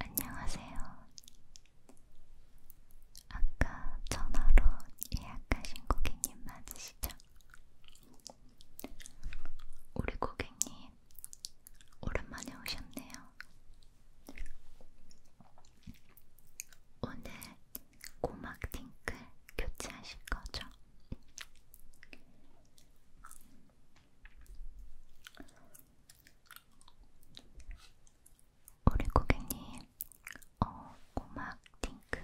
안녕하세요. 아까 전화로 예약하신 고객님 맞으시죠? 우리 고객님, 오랜만에 오셨네요. 오늘 고막 팅클 교체하실 거죠? 우리 고객님, 어, 고막 팅클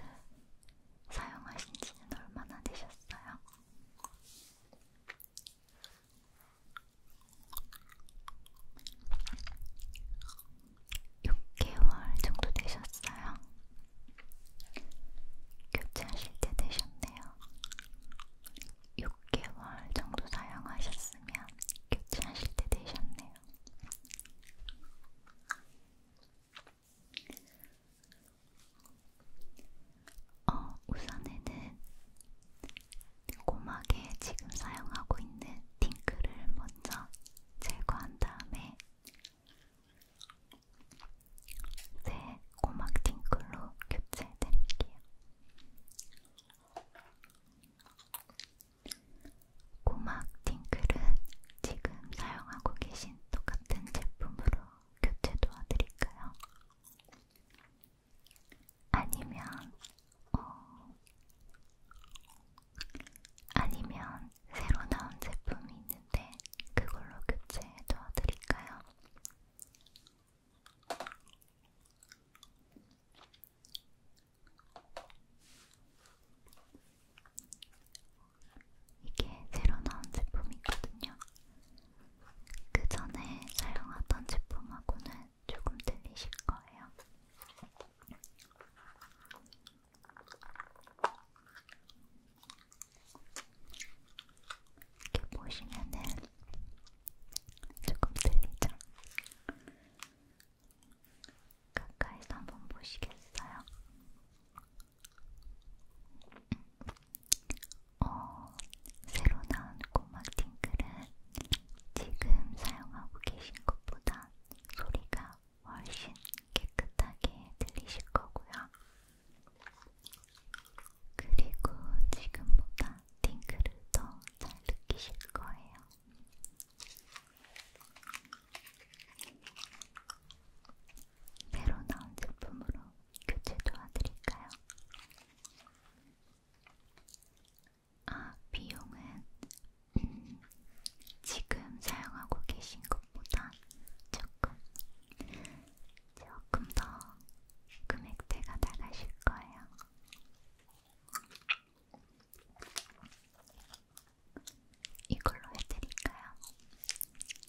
사용하신 지는 얼마나 되셨어요? 6개월 정도 되셨어요. 교체하실 때 되셨네요. 6개월 정도 사용하셨으면 교체하실 때 되셨네요. 어, 우선에는 고막에 지금 사용하고 있는 팅크를 먼저 제거한 다음에 새 고막 팅클로 교체해드릴게요. 고막 팅클은 지금 사용하고 계신 똑같은 제품으로 교체 도와드릴까요? 아니면, 어, 아니면 새로 나온 제품이 있는데 그걸로 교체 도와드릴까요? 이게 새로 나온 제품이거든요. 그 전에 사용하던 제품하고는 조금 들리실 거예요. 이렇게 보시면은 조금 들리죠? 가까이서 한번 보시겠어요? 어, 새로 나온 고막 팅클은 지금 사용하고 계신 것보다 소리가 훨씬 깨끗하게 들리실 거고요. 그리고 지금보다 팅클을 더 잘 느끼실 거예요. 새로 나온 제품으로 교체 도와드릴까요? 아, 비용은 음, 지금 사용하고 계신 것보다 조금, 조금 더 금액대가 나가실 거예요. 이걸로 해드릴까요?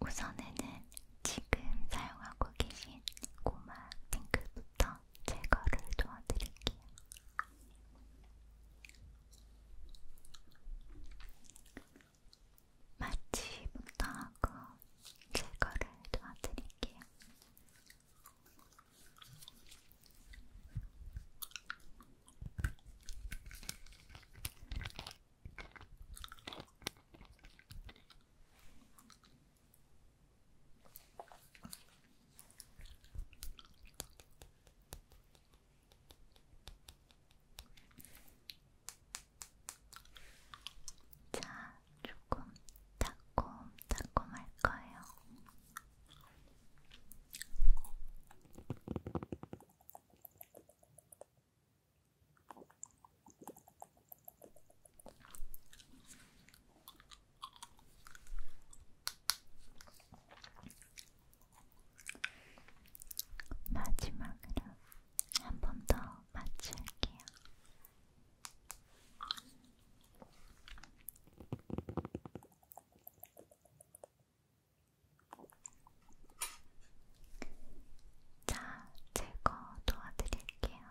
우선에는 지금 사용하고 계신 고마 핑크부터 제거를 도와드릴게요. 마취부터 하고 제거를 도와드릴게요. 자, 조금 달콤달콤할 거예요. 마지막으로 한 번 더 맞출게요. 자, 제거 도와드릴게요. 자,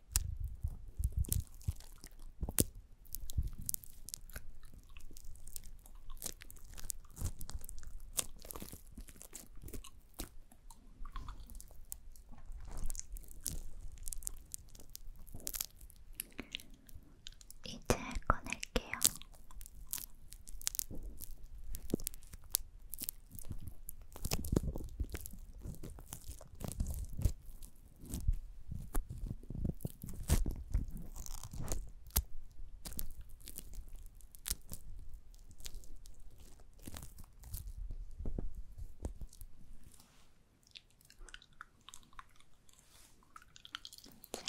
이제 꺼낼게요. 자,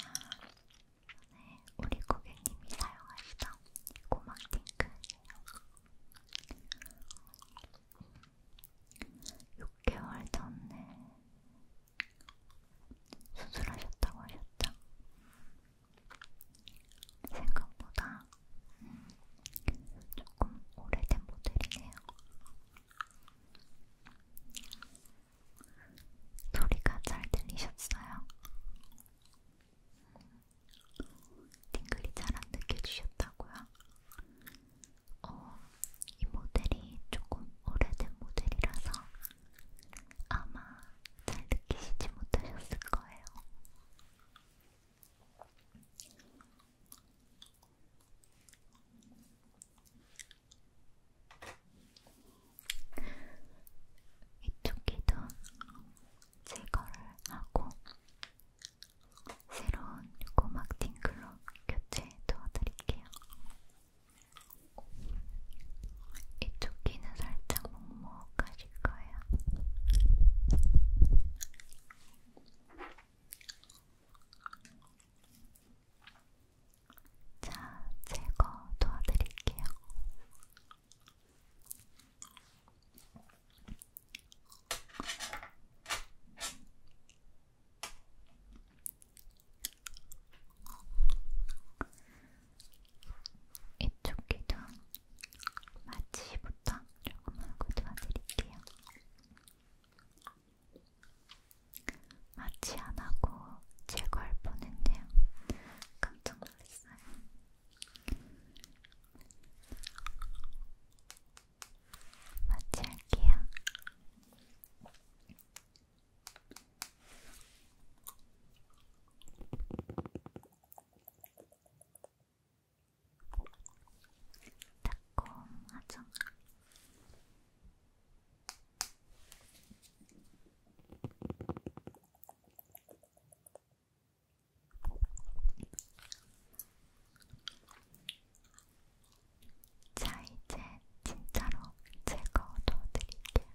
오늘 우리 고객님이 사용하시던 고막 탱크예요. 음, 6개월 전에 수술하셨다고 하셨죠? 생각보다 음, 조금 오래된 모델이네요. 소리가 잘 들리셨어요? 팅글이 음, 잘안 느껴지셨다고요? 어, 이 모델이 조금 오래된 모델이라서 아마 잘 느끼시지 못하셨을 거예요. 이쪽 귀도 제거를 하고 새로운 꼬막 팅클로 교체 도와드릴게요. 이쪽 귀는 살짝 먹먹하실 거예요. 자, 제거 도와드릴게요. 이쪽 귀도 마취부터 조금만 고쳐드릴게요. 마취 안 하고 제거할 뻔했네요. 깜짝 놀랐어요. 마취할게요. 달콤하죠? 자, 이제 진짜로 제거 넣어드릴게요.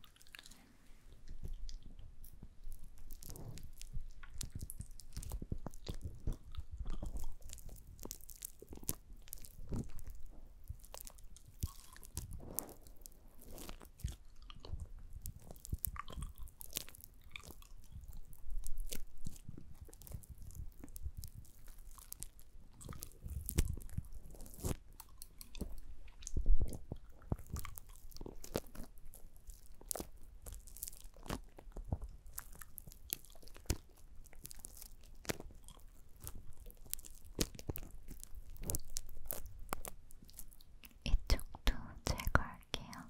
이쪽도 제거할게요.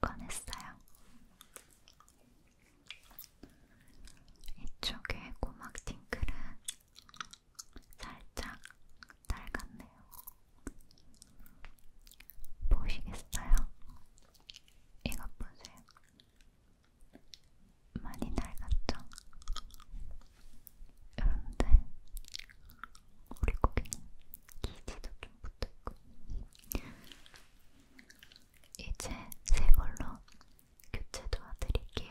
꺼냈어요. 이쪽에 고막 팅클은 살짝 닳았네요. 보시겠어요? 이것 보세요. 많이 낡았죠? 그런데 우리 고기는 기지도 좀 붙어있고 이제 새 걸로 교체 도와드릴게요.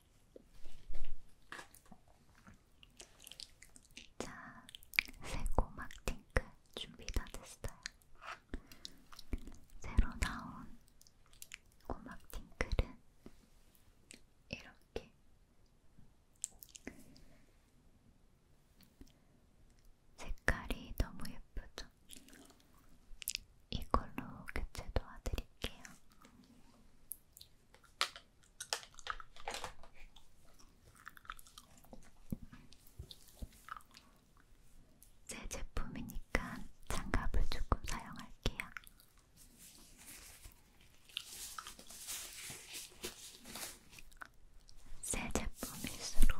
자, 새고막 팅크 준비 다 됐어요. 새로 나온 고막 팅크는 이렇게 색깔이 너무 예쁘죠? 이걸로 교체 도와드릴게요. 제 제품이니까 장갑을 조금 사용할게요. 새 제품일수록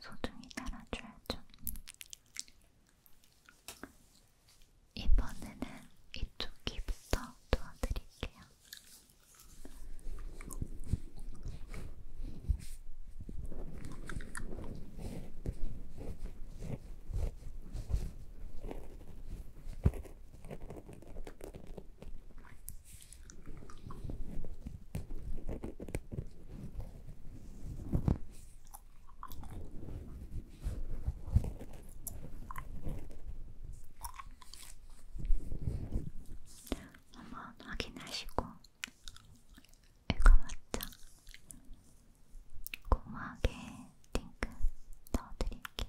소중히 달아줘야죠. 이번에는 이쪽 귀부터 도와드릴게요. 한번 확인하시고 이거 맞죠? 고마하게 링크 넣어드릴게요.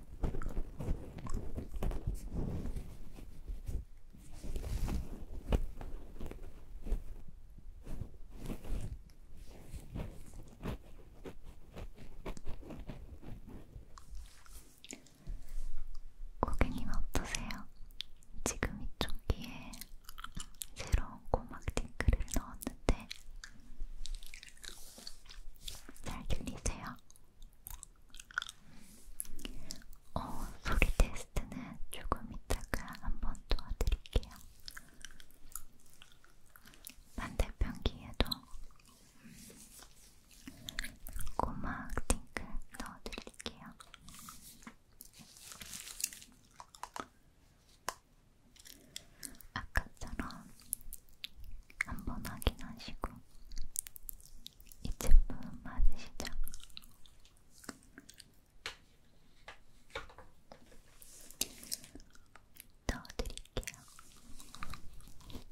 고객님 어떠세요? 지금 이쪽 귀에 새로운 고막 팅크를 넣었는데 잘 들리세요? 어, 소리 테스트는 조금 이따가 한 번 도와드릴게요. 반대편 귀에도 고막 띵크 넣어드릴게요. 아까처럼 한 번 확인하시고 이 제품 맞으시죠? 넣어드릴게요. 이렇게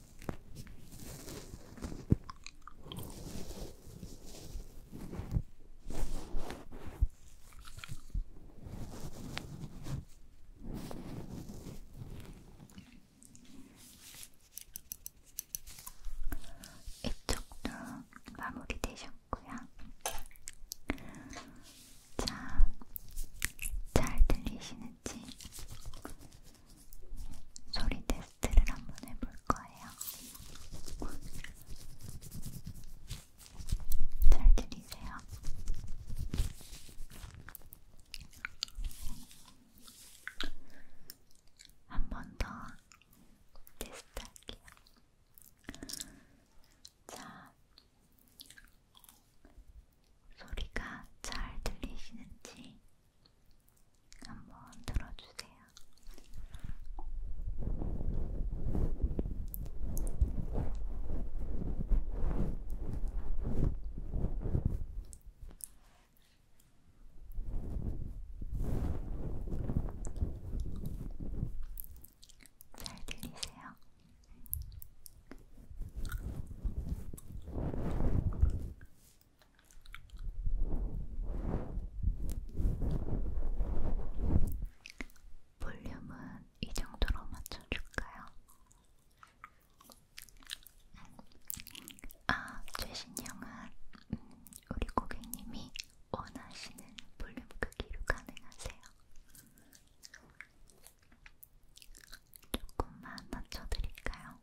이쪽도 마무리 되셨고요. 자, 잘 들리시는지 소리 대서 테스트를 한 번 해볼 거예요. 잘 들리세요? 한 번 더 테스트할게요. 자, 소리가 잘 들리시는지 한번 들어주세요. 잘 들리세요? 볼륨은 이 정도로 맞춰줄까요? 아, 최신형은 음, 우리 고객님이 원하시는 볼륨 크기로 가능하세요. 조금만 낮춰드릴까요?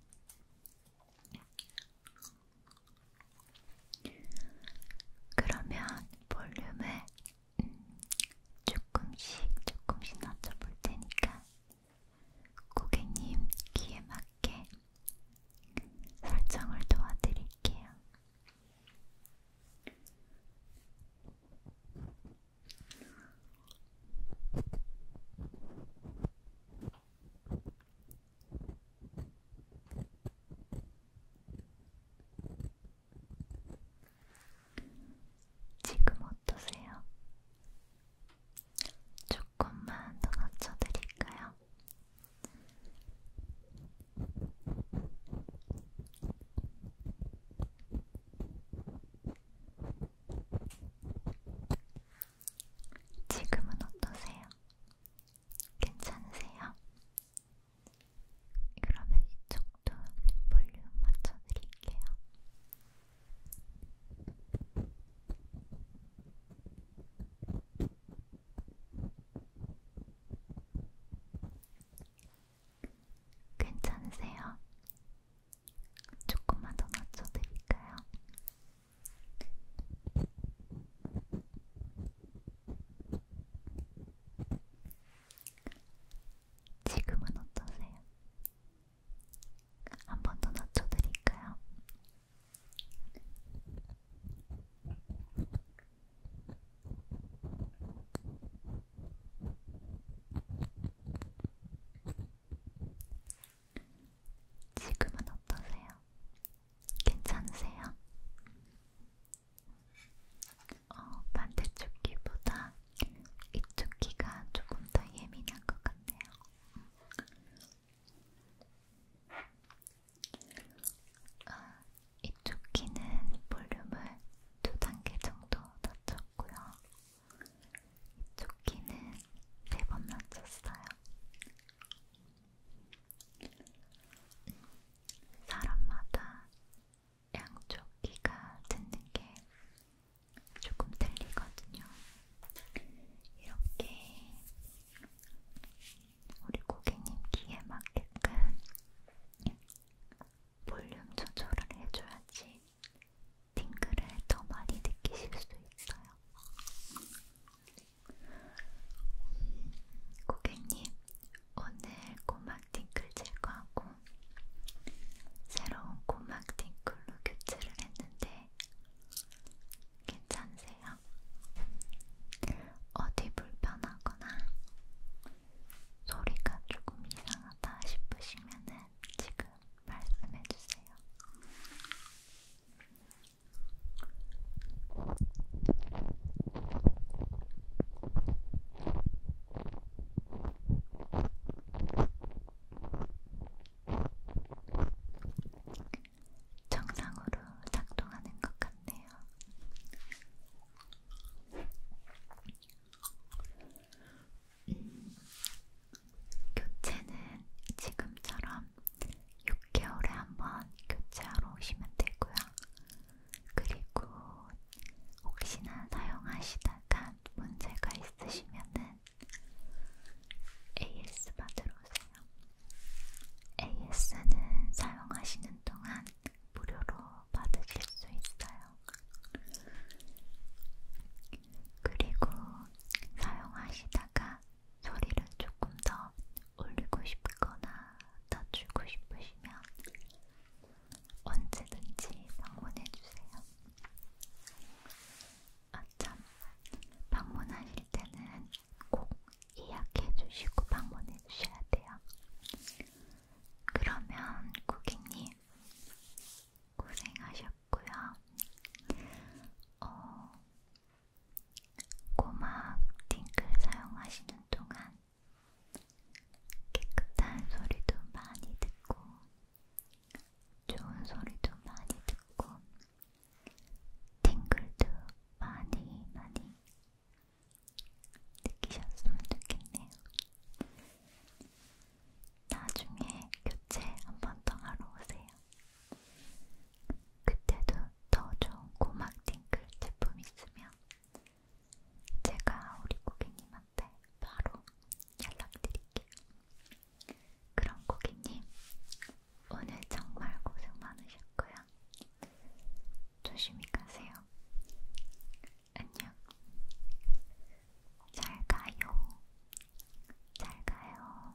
그러면 볼륨을 음, 조금씩 조금씩 낮춰볼 테니까 고객님 귀에 맞게 설정을 도와드릴게요. 지금 어떠세요? 조금만 더 낮춰드릴까요? 지금은 어떠세요? 괜찮으세요? 그러면 이쪽도 볼륨 맞춰드릴게요. 괜찮으세요? 조금만 더 낮춰드릴까요? 지금은 어떠세요? 한번더 낮춰드릴까요? 지금은 어떠세요? 괜찮으세요? 어, 반대쪽 귀보다 이쪽 귀가 조금 더 예민한 것 같네요. 아, 어, 이쪽 귀는 볼륨을 두 단계 정도 낮췄고요. 조끼는 세번 네 낮췄어요. 사람마다 양쪽 귀가 듣는 게 조금 틀리거든요. 이렇게 우리 고객님 귀에 맞게끔 볼륨 조절을 해줘야지 팅글을 더 많이 느끼실 수 있어요. 고객님, 오늘 고막 팅글 제거하고 새로운 고막 팅글로 교체를 했는데 괜찮으세요? 어디 불편하거나 소리가 조금 이상하다 싶으시면은 지금 말씀해주세요. 정상으로 작동하는 것 같네요. 음, 교체는 지금처럼 6개월에 한 번 교체하러 오시면 되고요. 그리고 혹시나 사용하시다가 문제가 있으시면은 AS 받으러 오세요. AS는 사용하시는 동안 무료로 받으실 수 있어요. 그리고 사용하시다가 소리를 조금 더 올리고 싶거나 낮추고 싶으시면 언제든지 방문해주세요. 아참, 방문하실 때는 꼭 예약해주시고 방문해주셔야 돼요. 그러면 고객님 고생하셨 같고요. 어, 고막 딩글 사용하시는 동안 깨끗한 소리도 많이 듣고 좋은 소리도 많이 듣고 팅글도 많이 많이 느끼셨으면 좋겠네요. 나중에 교체 한번 더 하러 오세요. 그때도 더 좋은 고막 팅클 제품 있으면 제가 우리 고객님한테 바로 연락드릴게요. 그럼 고객님, 오늘 정말 고생 많으셨고요. 조심히 가세요. 안녕. 잘 가요. 잘 가요. 안녕.